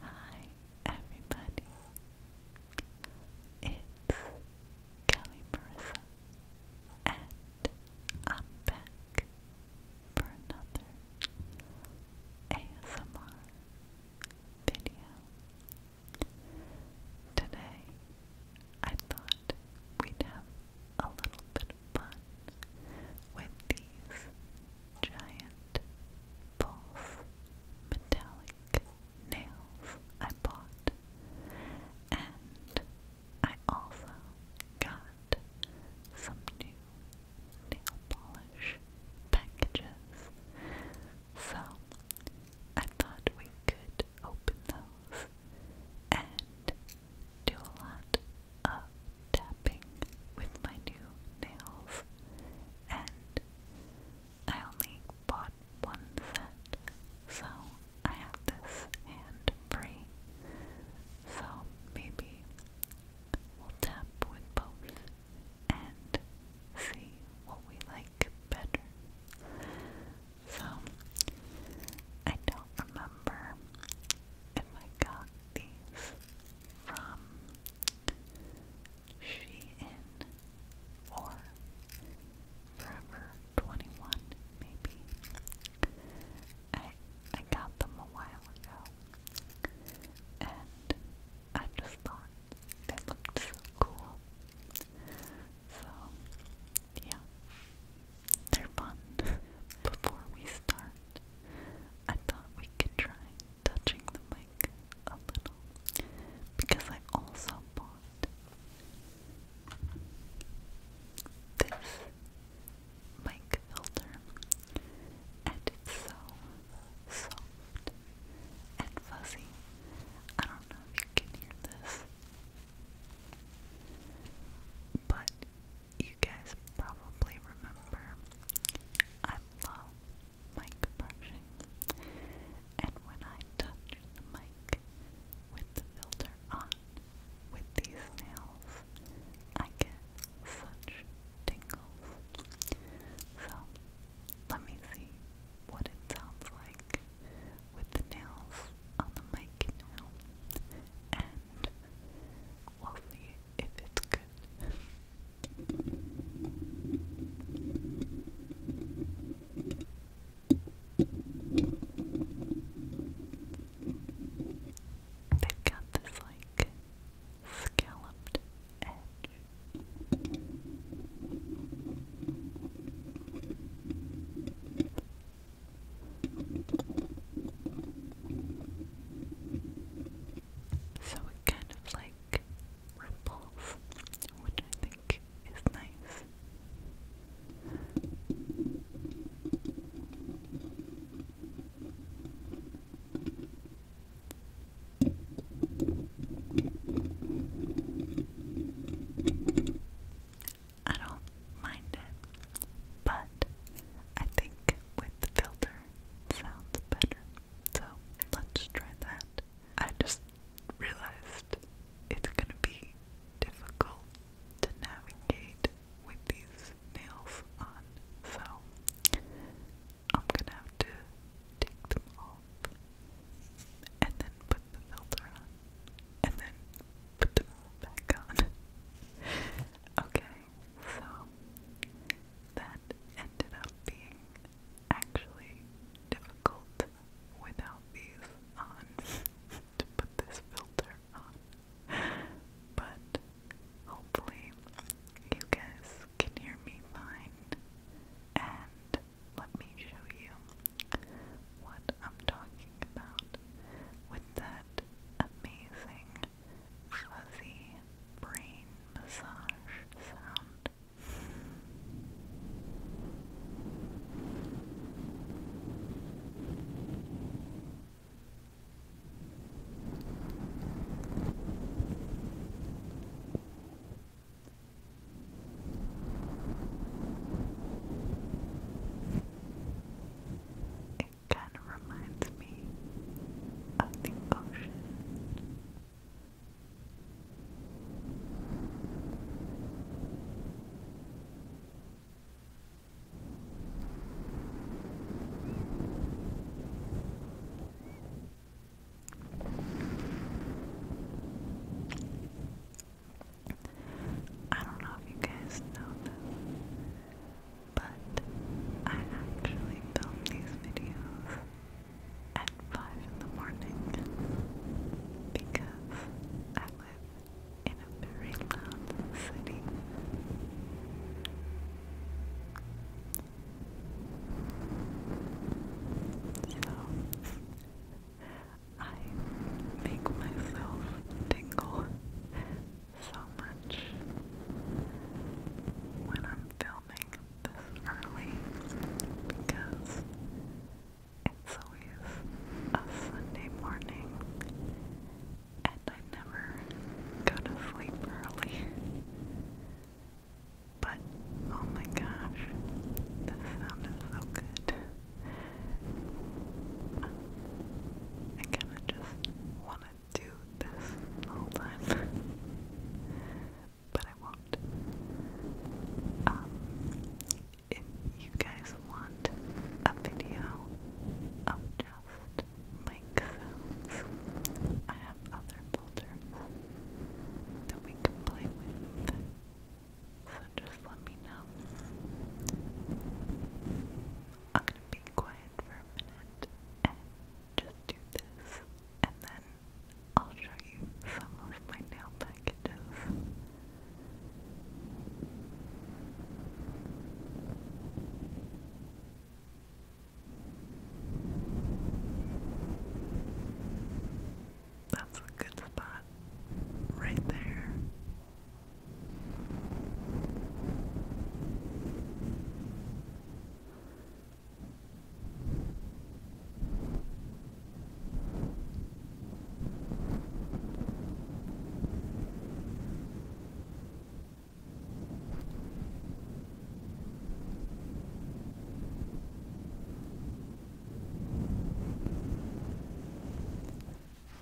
Hi everybody, it's Kelly Marissa and I'm back for another ASMR video. Today I thought we'd have a little bit of fun with these giant false metallic nails I bought, and I also got some new nail polish packages. So I thought we could open those and do a lot of tapping with my new nails and I only bought one set, so I have this hand free. So maybe we'll tap with both and see what we like better. So I don't remember if I got these from she in or Forever 21 maybe. I I got them a while ago and I just thought they looked so cool. So yeah. They're fun. Before we start, I thought we could try touching the mic a little because I also bought this mic filter and it's so soft and fuzzy. I don't know if you can hear this, but you guys probably remember I love mic brushing, and when I touch the mic with the filter on with these nails, I get such tingles. So, let me see what it sounds like with the nails on the mic now, and we'll see if it's good. They've got this like scalloped edge. So it kind of like ripples, which I think is nice. I don't mind it, but I think with the filter sounds better. So let's try that. I just realized it's gonna be difficult to navigate with these nails on, so I'm gonna have to take them off and then put the filter on and then put them back on. okay, so that ended up being actually difficult without these on to put this filter on. But hopefully you guys can hear me fine and let me show you what I'm talking about with that amazing fuzzy brain massage sound it kind of reminds me of the ocean. I don't know if you guys know but I actually film these videos at five in the morning because I live in a very loud city. So I make myself tingle so much when I'm filming this early because it's always a Sunday morning and I never go to sleep early. But oh my gosh, this sound is so good. I kinda just wanna do this all time but I won't. Um, if you guys want a video of just mic I have other filters that we can play with. So just let me know. I'm gonna be quiet for a minute and just do this, and then I'll show you some of my nail packages. That's a good spot right there.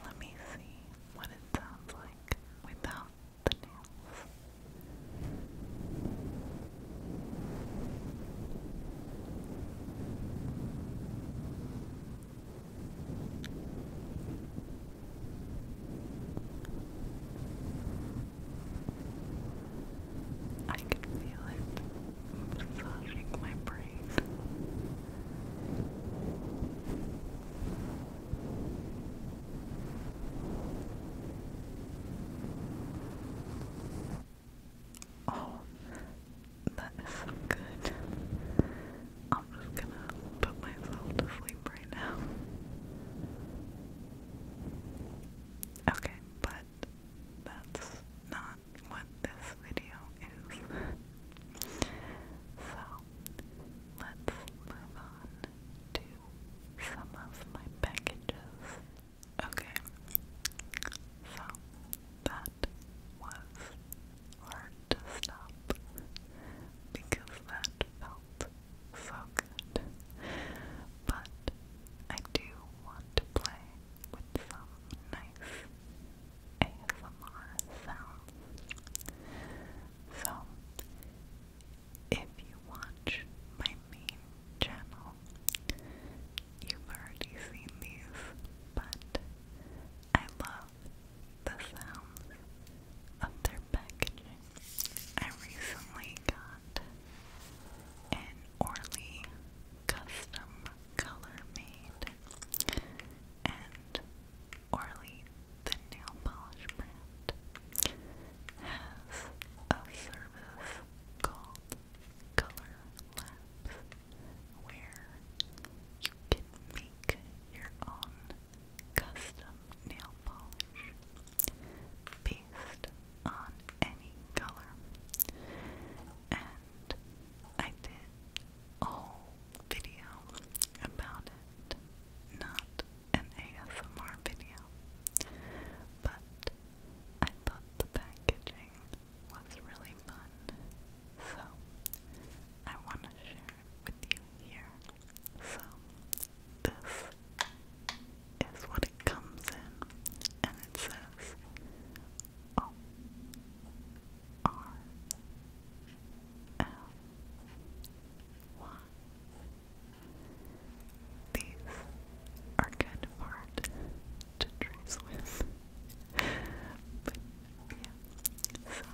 Let me see what it sounds like without the nails. I can feel it massaging my brain. Oh, that is so good. I'm just gonna put myself to sleep right now. Okay, but that's not what this video is. so, let's move on to some of my packages Okay. So that was hard to stop because that felt so good. But I do want to play with some nice ASMR sounds. So if you watch my main channel. You've already seen these, but I love the sounds of their packaging. I recently got an Orly custom color made and Orly, the nail polish brand, has a service called color labs where you can make your own custom nail polish based on any color. And I did a whole video about it, not an ASMR video, but I thought the packaging was really fun, so I want to share with you here. So, this is what it comes in, and it says O R L Y these are kind of hard to trace with. But yeah, so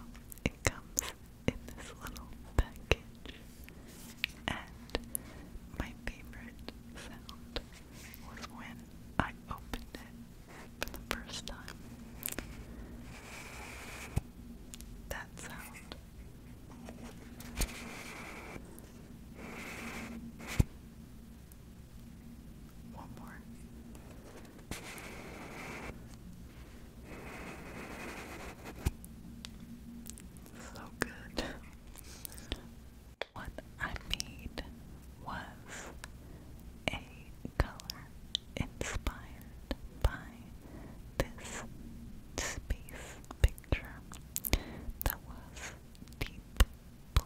it comes in this little package. And my favorite sound was when I opened it for the first time. That sound. One more. So good. What I made was a color inspired by this space picture that was the blue.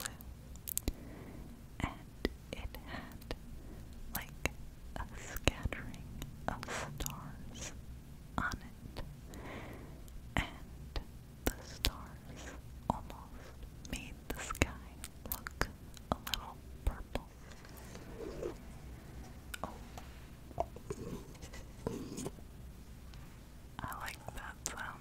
And it had like a scattering of stars on it. And the stars almost made the sky look a little purple. Oh. I like that sound.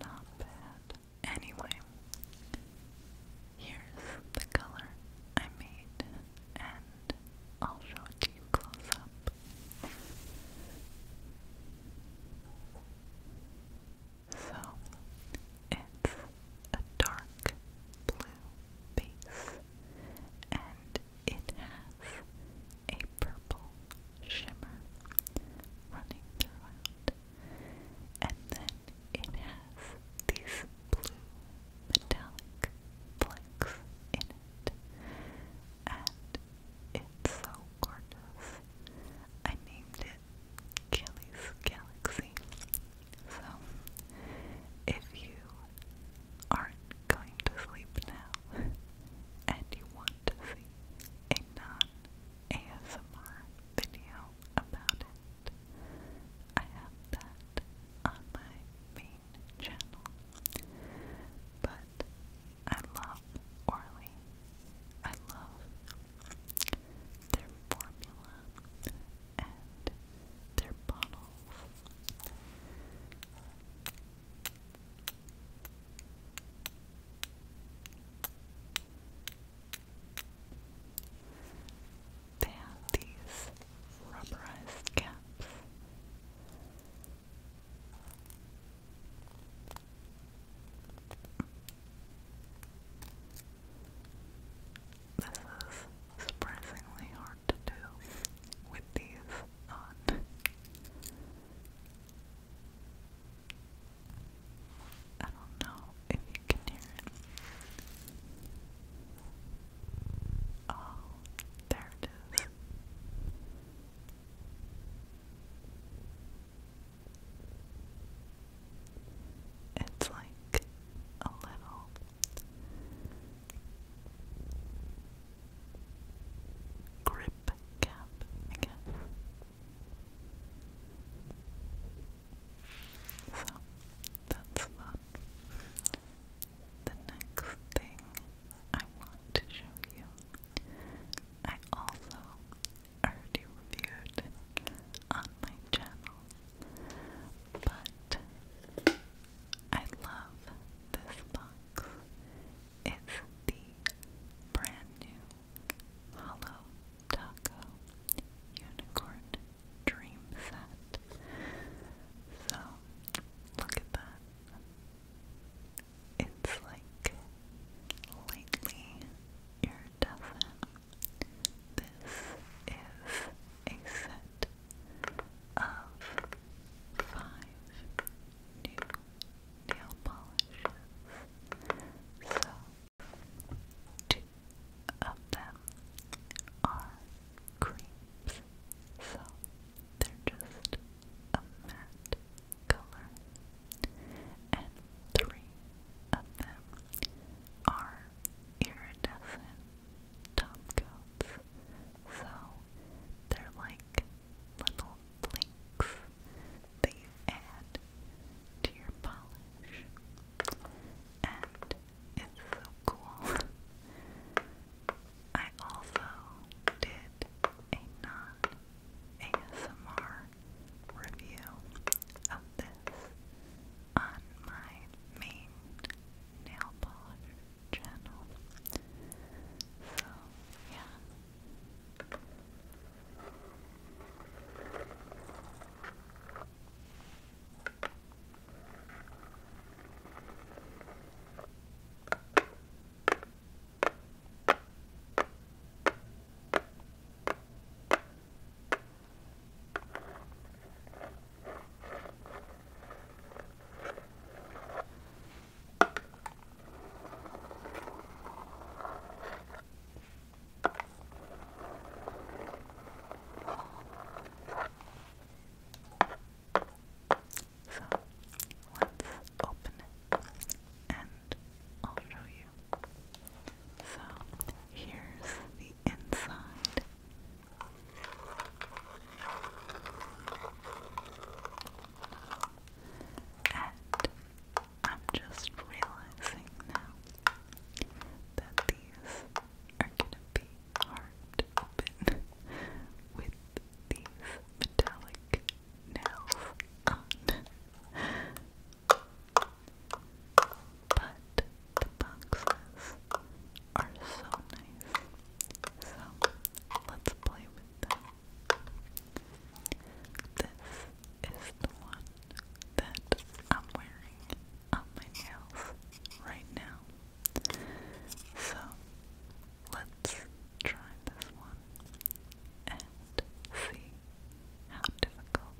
Not bad. Anyway, here's the color I made, and I'll show it to you close up. So it's a dark blue base and it has a purple shimmer running throughout. And then it has these blue metallic flecks in it. And it's so gorgeous. I named it Kelly's Galaxy. So, if you aren't going to sleep now and you want to see a non ASMR video about it, I have that on my main channel. But I love Orly. I love their formula and their bottles. They have these rubberized caps this is surprisingly hard to do with these on. I don't know if you can hear it. Oh, there it is. It's like a little grip cap, I guess. So that's fun. The next thing I want to show you I also already reviewed on my channel, but I love this box. It's the brand new Hollow Taco Unicorn Dream Set. So, look at that. It's like lately iridescent. This is a set of five new nail polishes. So two of them are creams. So they're just a matte color, and three of them are iridescent top so they're like little blinks that you add to your polish, and it's so cool. I also did did a non-ASMR review of this on my main nail polish channel. So, yeah. So let's open it and I'll show you. So here's the inside. And I'm just realizing now that these are going to be hard to open with these metallic nails on. But the boxes are so nice. So let's play with them. This is the one that I'm wearing on my nails right now. So let's try this one see how difficult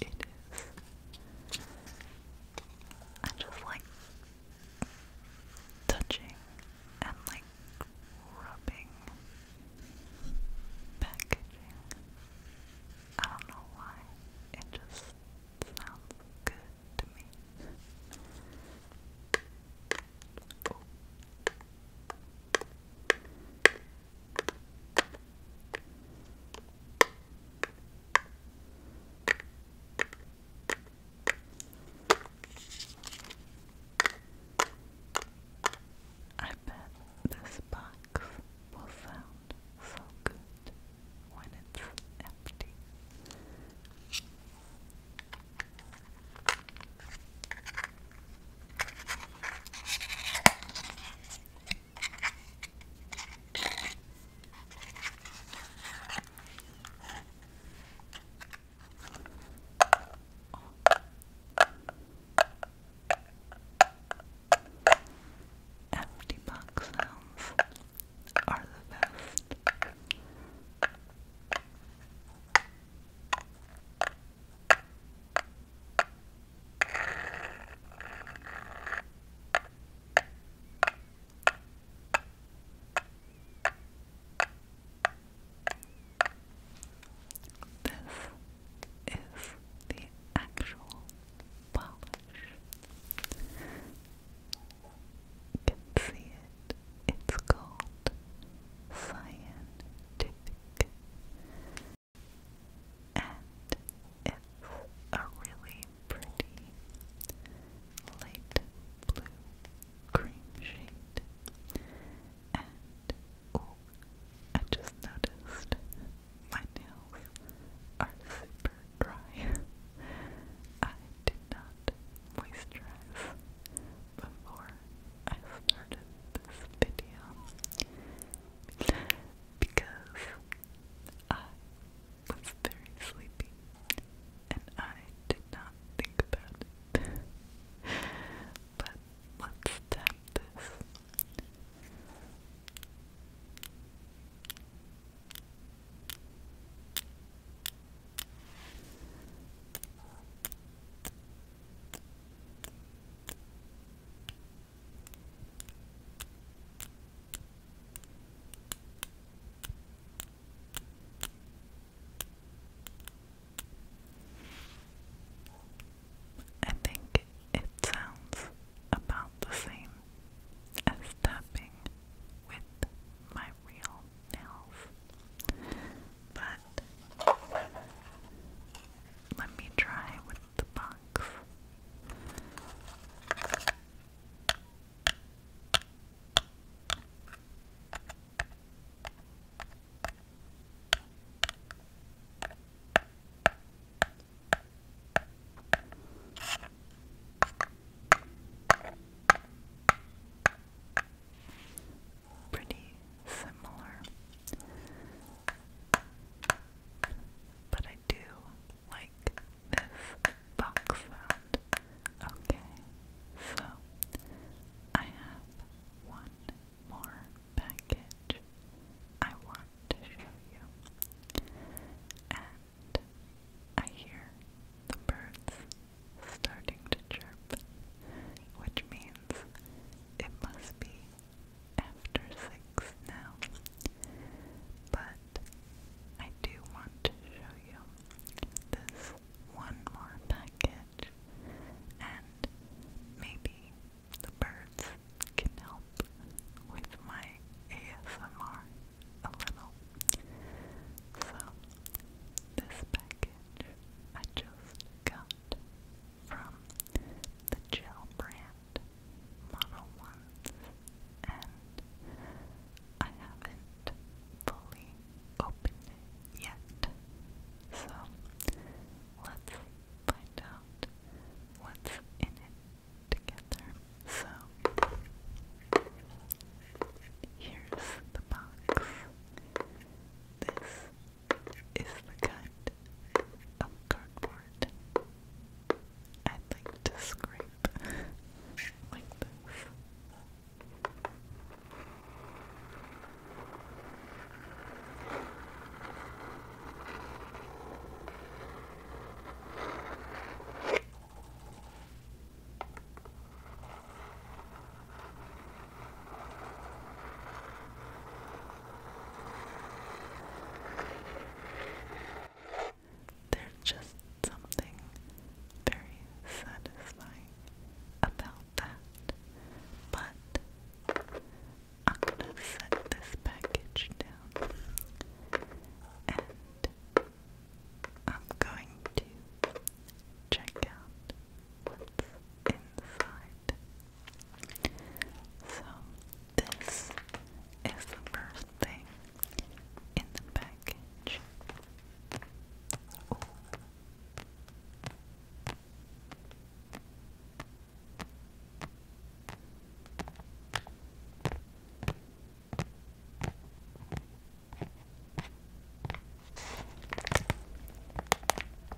it is. I just like touching and like rubbing packaging. I don't know why, it just sounds good to me. Oh. I bet this box will sound so good when it's empty. Empty box are the best. This is the actual polish. You can see it. It's called Cyan and it's a really pretty light blue cream shade. And I just noticed my nails are super dry. I did not moisturize before I started this video because I was very sleepy and I did not think about it. but let's tap this. I think it sounds about the same as tapping with my real nails, but let me try with the box pretty similar. But I do like this box sound. Okay, so I have one more package I want to show you. And I hear the birds starting to chirp, which means it must be after six now, but I do want to show you this one more package, and maybe the birds can help with my ASMR a little. So, this package I just got from the gel brand Mono Ones, and I haven't fully opened it yet, so let's find out what's in it together. So, here's the box. This is the kind of cardboard I'd like to scrape there's just something very satisfying about that. But I'm gonna set this package down and I'm going to check out what's inside. So, this is the first thing in the package.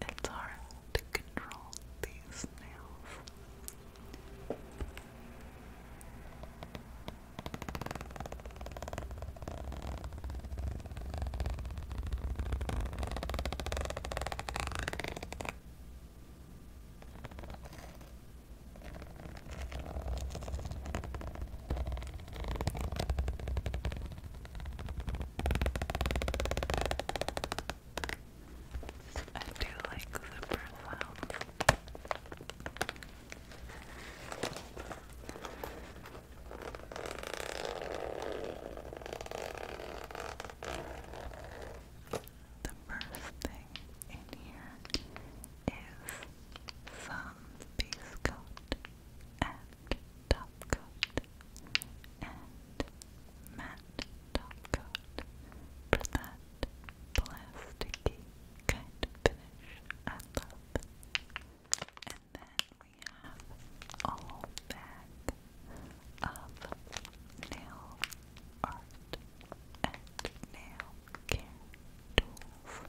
It's hard to control these nails. I do like the profiles. The first thing in here is some peace and top coat and matte top coat for that plasticky kind of finish And then we have a whole of nail art and nail care tools.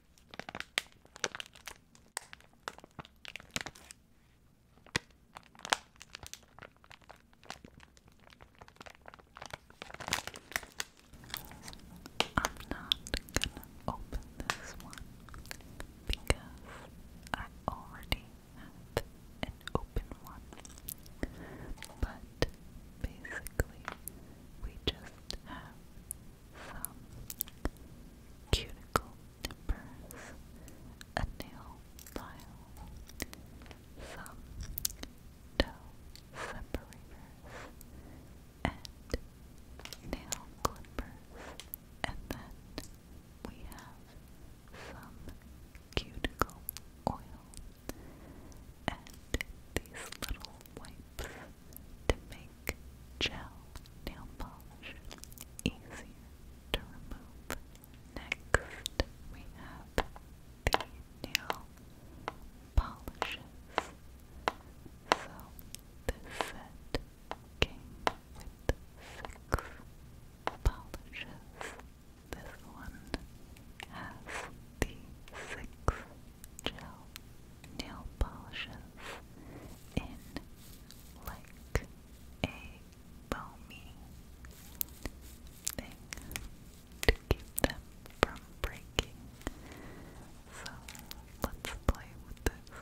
I'm not gonna open this one because I already have an open one. But basically, we just have some cuticle nippers, a nail file, some toe separators, and nail clippers, and then we have some cuticle oil and these little wipes to make make gel nail polish easier to remove. Next, we have the nail polishes. So, this set came with six polishes. This one has the six gel nail polishes in like a foamy thing to keep them from breaking. So let's play with this.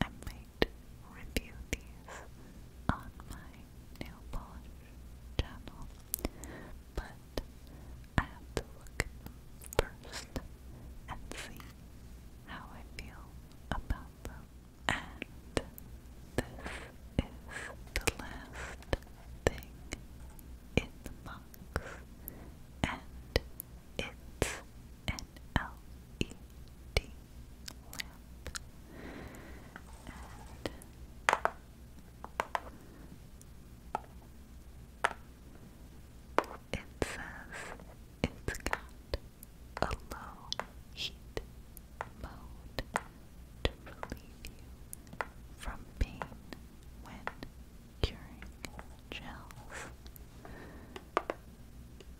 I might review these on my nail polish channel, but I have to look first and see how I feel about them. And this the last thing in the and it's an LED lamp. And it says it's got a low heat mode to relieve you from pain when curing gels.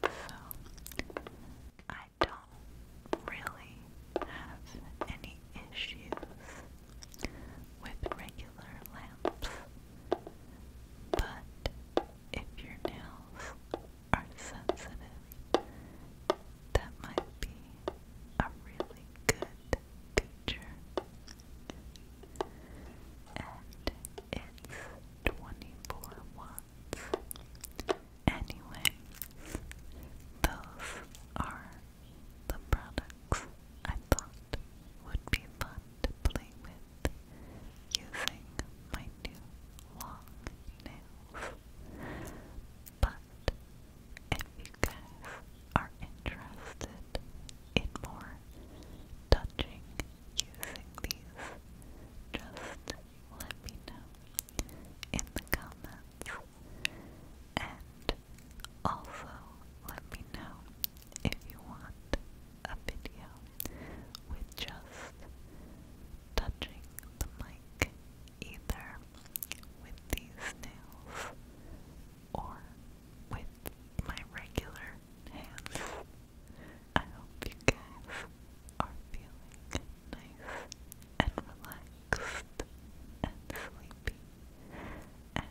So, I don't really have any issues with regular lamps, but if your nails are sensitive, that might be a really good teacher. And it's 24 watts. Anyway, those are the products I thought would be fun to play with using my new long nails. But if you guys are interested in more touching using these, just let me know in the comments. And also let me know if you want a video with just touching the mic either with these nails or with my regular hands. I hope you guys are feeling nice and relaxed and sleepy. And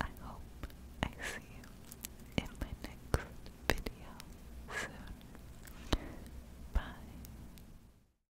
I hope I see you in my next video soon. Bye.